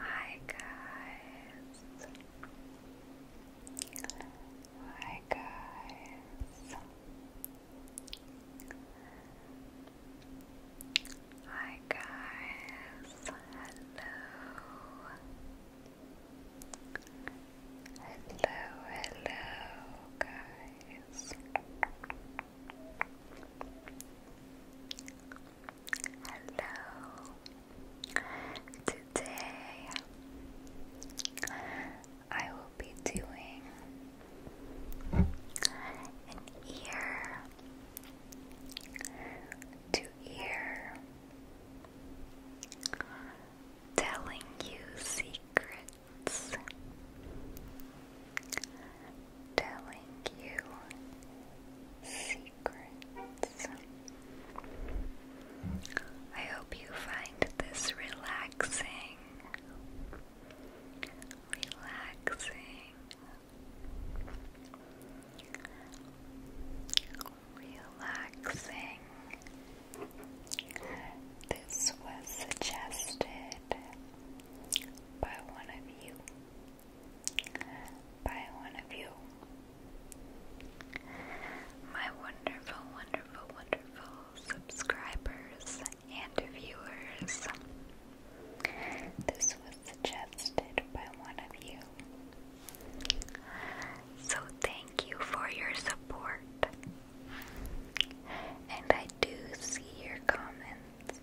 Hi guys. Hi guys. Hi guys. Hello. Hello, hello guys. Hello. Today I will be doing an ear to ear telling you secrets telling you secrets. I hope you find this relaxing. Relaxing. Relaxing. This was suggested by one of you by one of you. My wonderful, wonderful, wonderful subscribers and viewers. This was suggested by one of you. So thank you for your support. And I do see your comments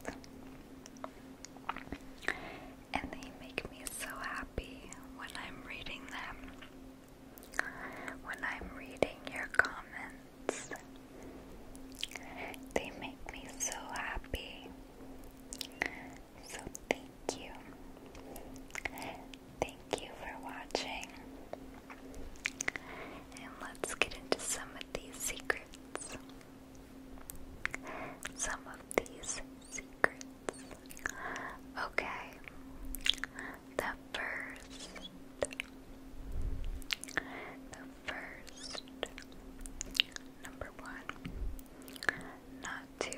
and they make me so happy when I'm reading them, when I'm reading your comments. They make me so happy. So, thank you. Thank you for watching. And let's get into some of these secrets some of these secrets. Okay, the first, the first, number one, not two,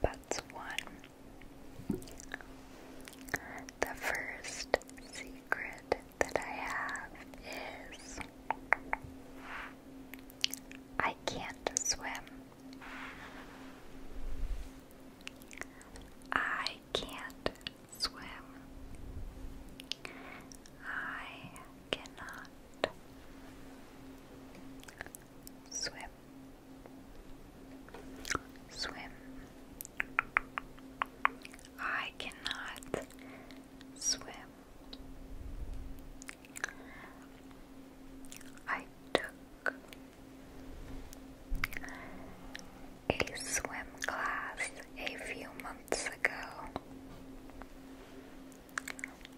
but one. The first secret that I have is I can't swim. I can't swim. I cannot swim. Swim. I cannot swim. I took a swim class a few months ago,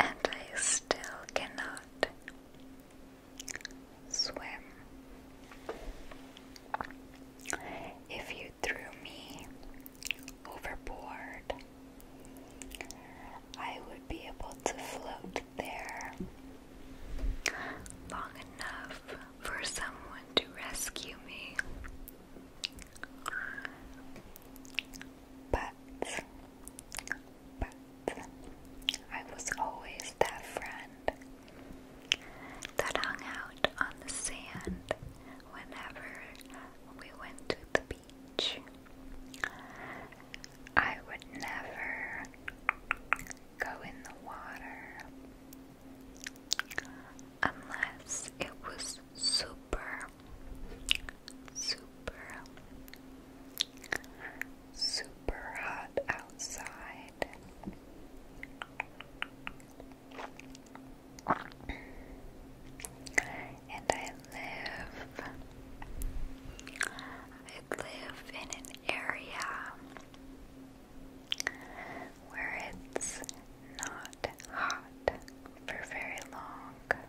and I still cannot swim. If you threw me overboard, I would be able to float there long enough for someone to rescue me. But, but, I was always that friend that hung out on the sand whenever we went to the beach. I would never go in the water unless it was super, super, super hot outside. And I live I live in an area where it's not hot for very long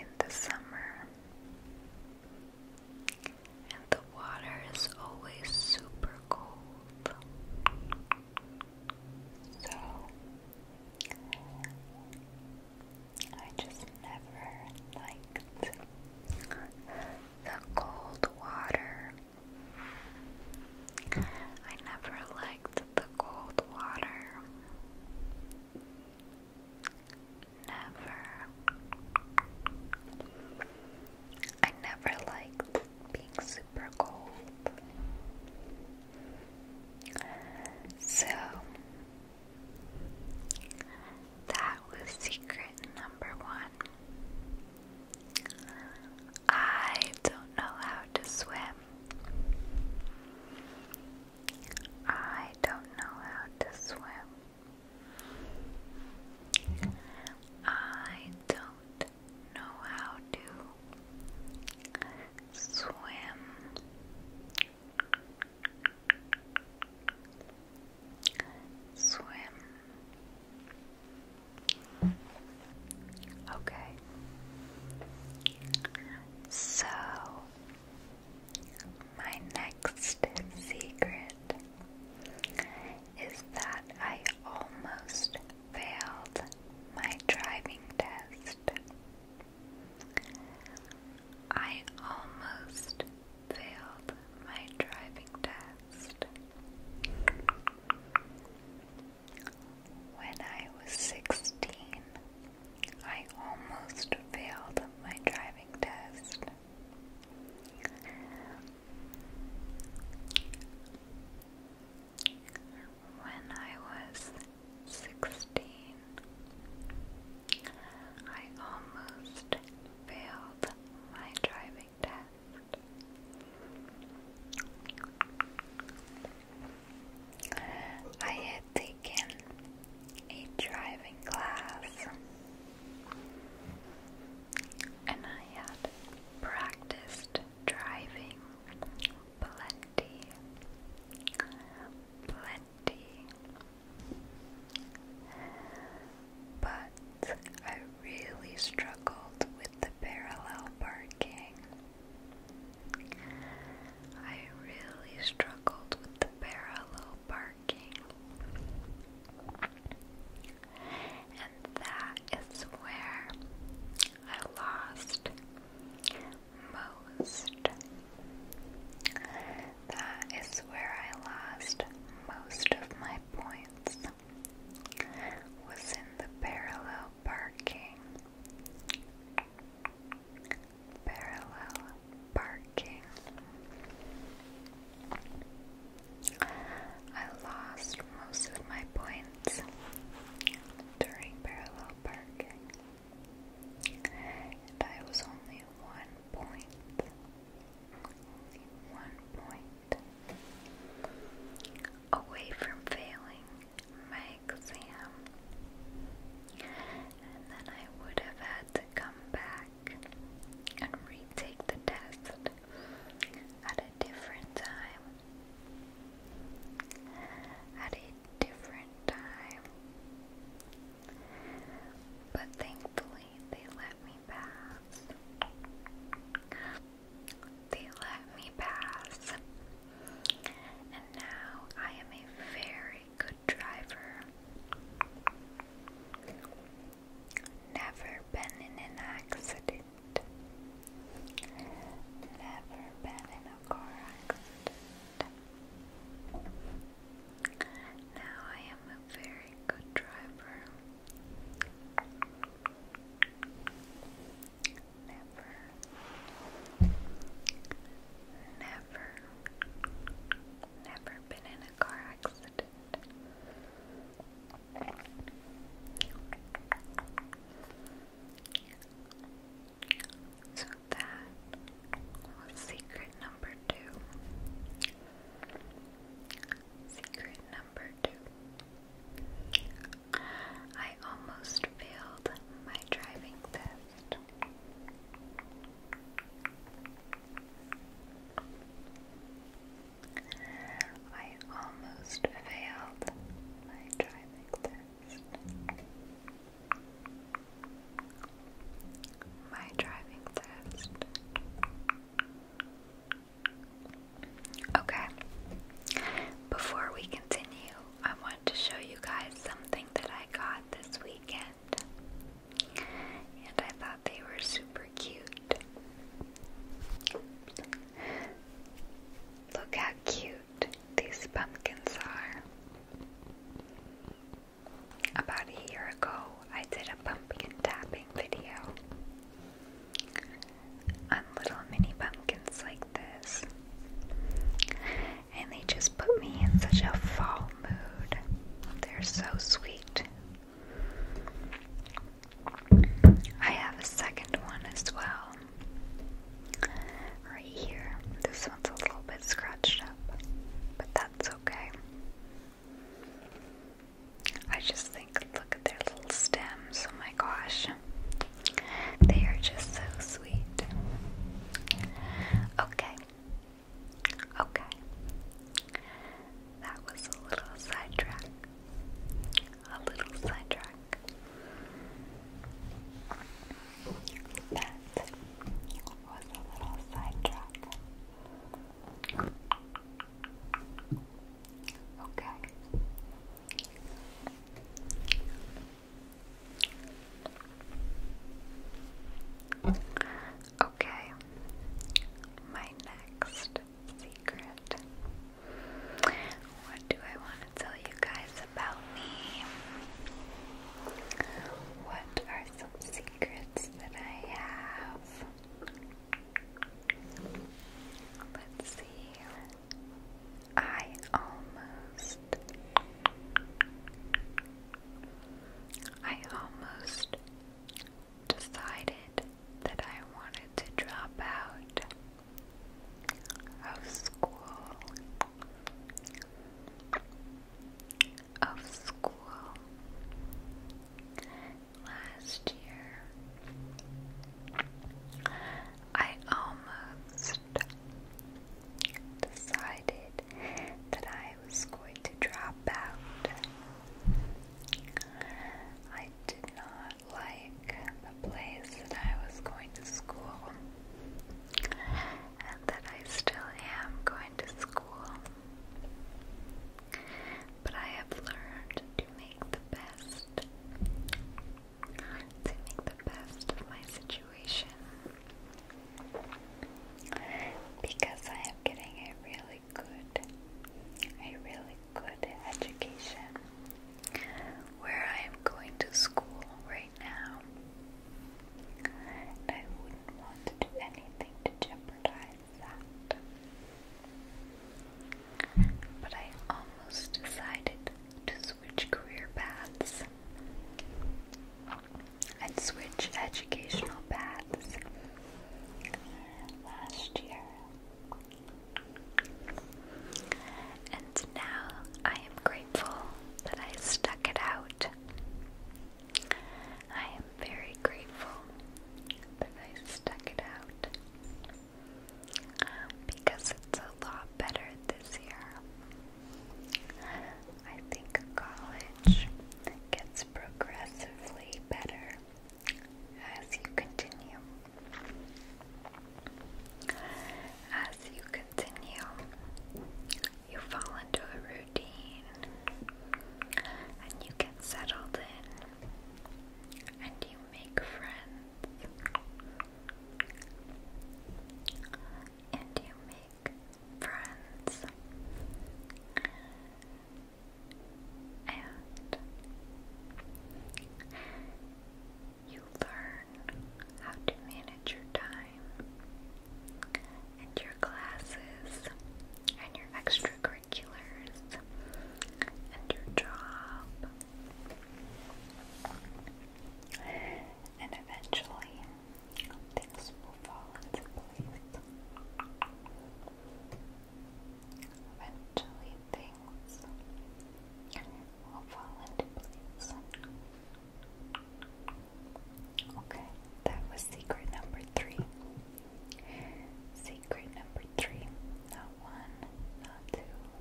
in the summer and the water is always super cold. So I just never liked the cold water. I never liked the cold water. Never. I never liked being super cold. So that was secret number one. I don't know how to swim. I don't know how to swim. I don't know how to swim. Swim. Okay. So, my next secret is that I almost failed my driving test. I almost failed my driving test. When I was 16, I almost failed my driving test. When I was 16, I almost failed my driving test. I had taken a driving class and I had practiced driving plenty, plenty, but I really struggled with the parallel parking. I really struggled with the parallel parking. And that is where I lost most. That is where I lost most of my points. Was in the parallel parking. Parallel parking. I lost most of my points during parallel parking, and I was only one point. Only one point away from failing my exam, and then I would have had to come back back and retake the test at a different time. At a different time. But thankfully, they let me pass. They let me pass. And now I am a very good driver. Never been in an accident. Never been in a car accident. Now I am a very good driver. Never, never, never been in a car accident. So that was secret number two. Secret number two. I almost failed my driving test. I almost failed my driving test. My driving test. Okay. Before we continue, I want to show you guys something that I got this weekend. And I thought they were super cute. Look how cute these pumpkins are. About a year ago, I did a pumpkin tapping video on little mini pumpkins like this and they just put me in such a fall mood. They're so sweet. I have a second one as well. Right here. This one's a little bit scratched up, but that's okay. I just think, look at their little stems. Oh my gosh. They are just so sweet. Okay, Okay. That was a little sidetrack. A little sidetrack. That was a little sidetrack. Okay. Okay, my next secret. What do I want to tell you guys about me? What are some secrets that I have? Let's see. I almost I almost decided that I wanted to drop out of school of school last year. I almost and decided that I was going to drop out. I did not like the place that I was going to school, and that I still am going to school. But I have learned to make the best to make the best of my situation because I am getting a really good, a really good education where I am going to school right now. I wouldn't want to do anything to jeopardize that. But I almost decided to switch career paths and switch educational paths last year. And now I am grateful that I stuck it out. I am very grateful that I stuck it out because it's a lot better this year. I think college gets progressively better as you continue. As you continue, you fall into a routine and you get settled in and you make friends and you make friends, and you learn how to manage your time and your classes and your extracurriculars and your job and eventually things will fall into place. Eventually, things will fall into place. Okay, that was secret number three. Secret number three. Not one, not two,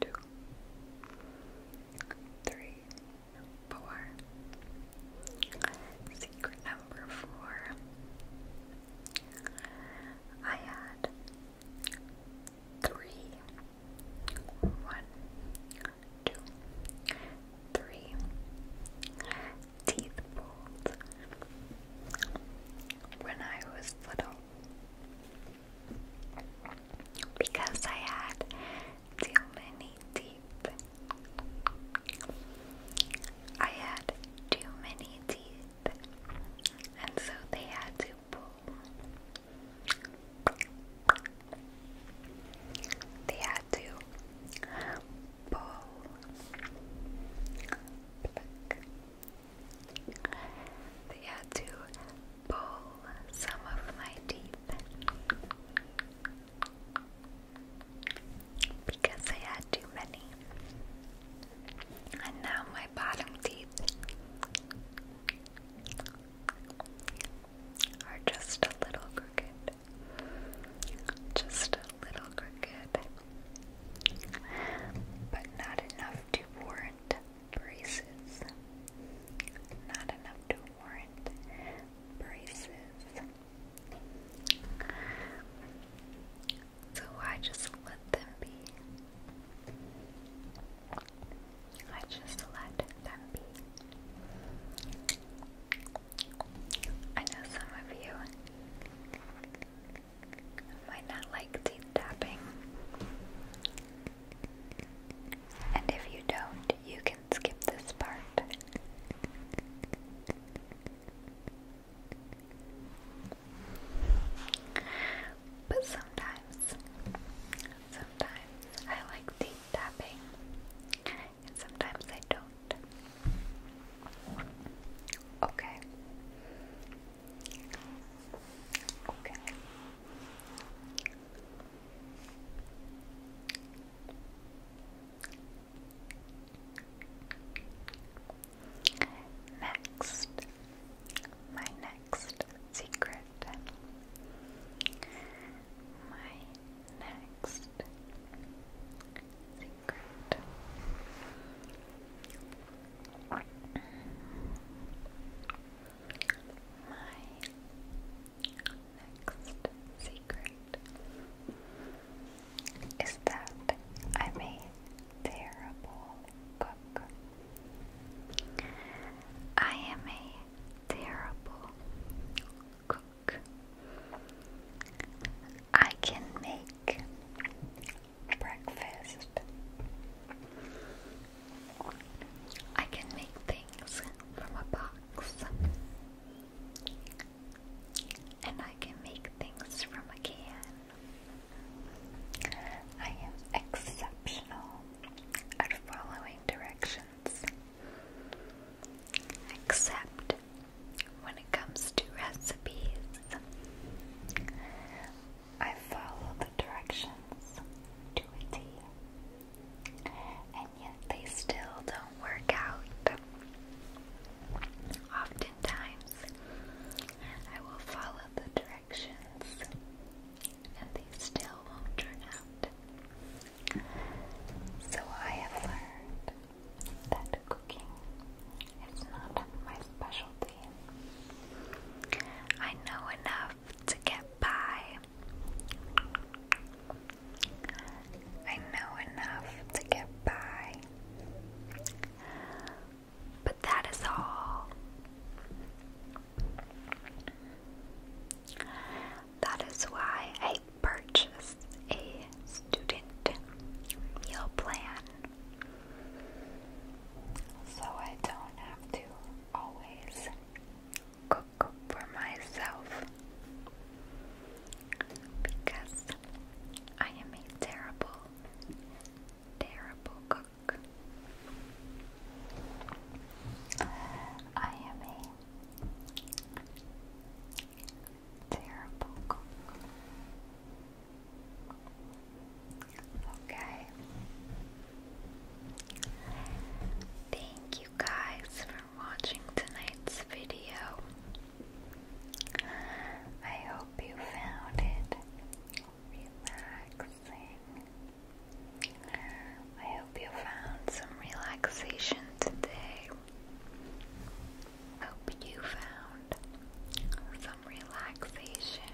two, three, four. Secret number four. I had three, one, two, three teeth pulled when I was little because I had too many teeth. I had too many teeth, and so they had to pull. They had to pull. They had to pull some of my teeth because I had too many. And now my bottom teeth are just a little crooked. Just a little crooked but not enough to warrant braces. Not enough to warrant braces. So I just let them be. I just let them be. I know some of you might not like teeth tapping. And if you don't, you can skip this part. But sometimes, sometimes I like teeth tapping, and sometimes I don't. Okay. Okay. Next, my next secret. My next secret. My next secret is that I'm a terrible cook. I am a terrible cook. I can make breakfast. I can make things from a box. And I can make things from a can. I am exceptional at following directions. Except when it comes to recipes. I follow the directions to a T. And yet they still don't work out. Oftentimes, I will follow the directions and they still won't turn out. So I have learned that cooking is not my specialty. I know enough to get by. I know enough to get by. But that is all. That is why I purchase a student meal plan so I don't have to always cook for myself because I am a terrible, terrible cook. I am a Terrible. Okay. Thank you guys for watching tonight's video. I hope you found it relaxing. I hope you found some relaxation today. Hope you found some relaxation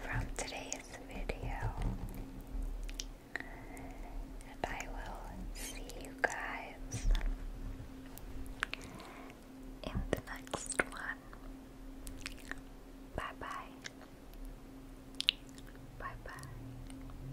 from today's video. And I will see you guys in the next one. Bye bye. Bye bye.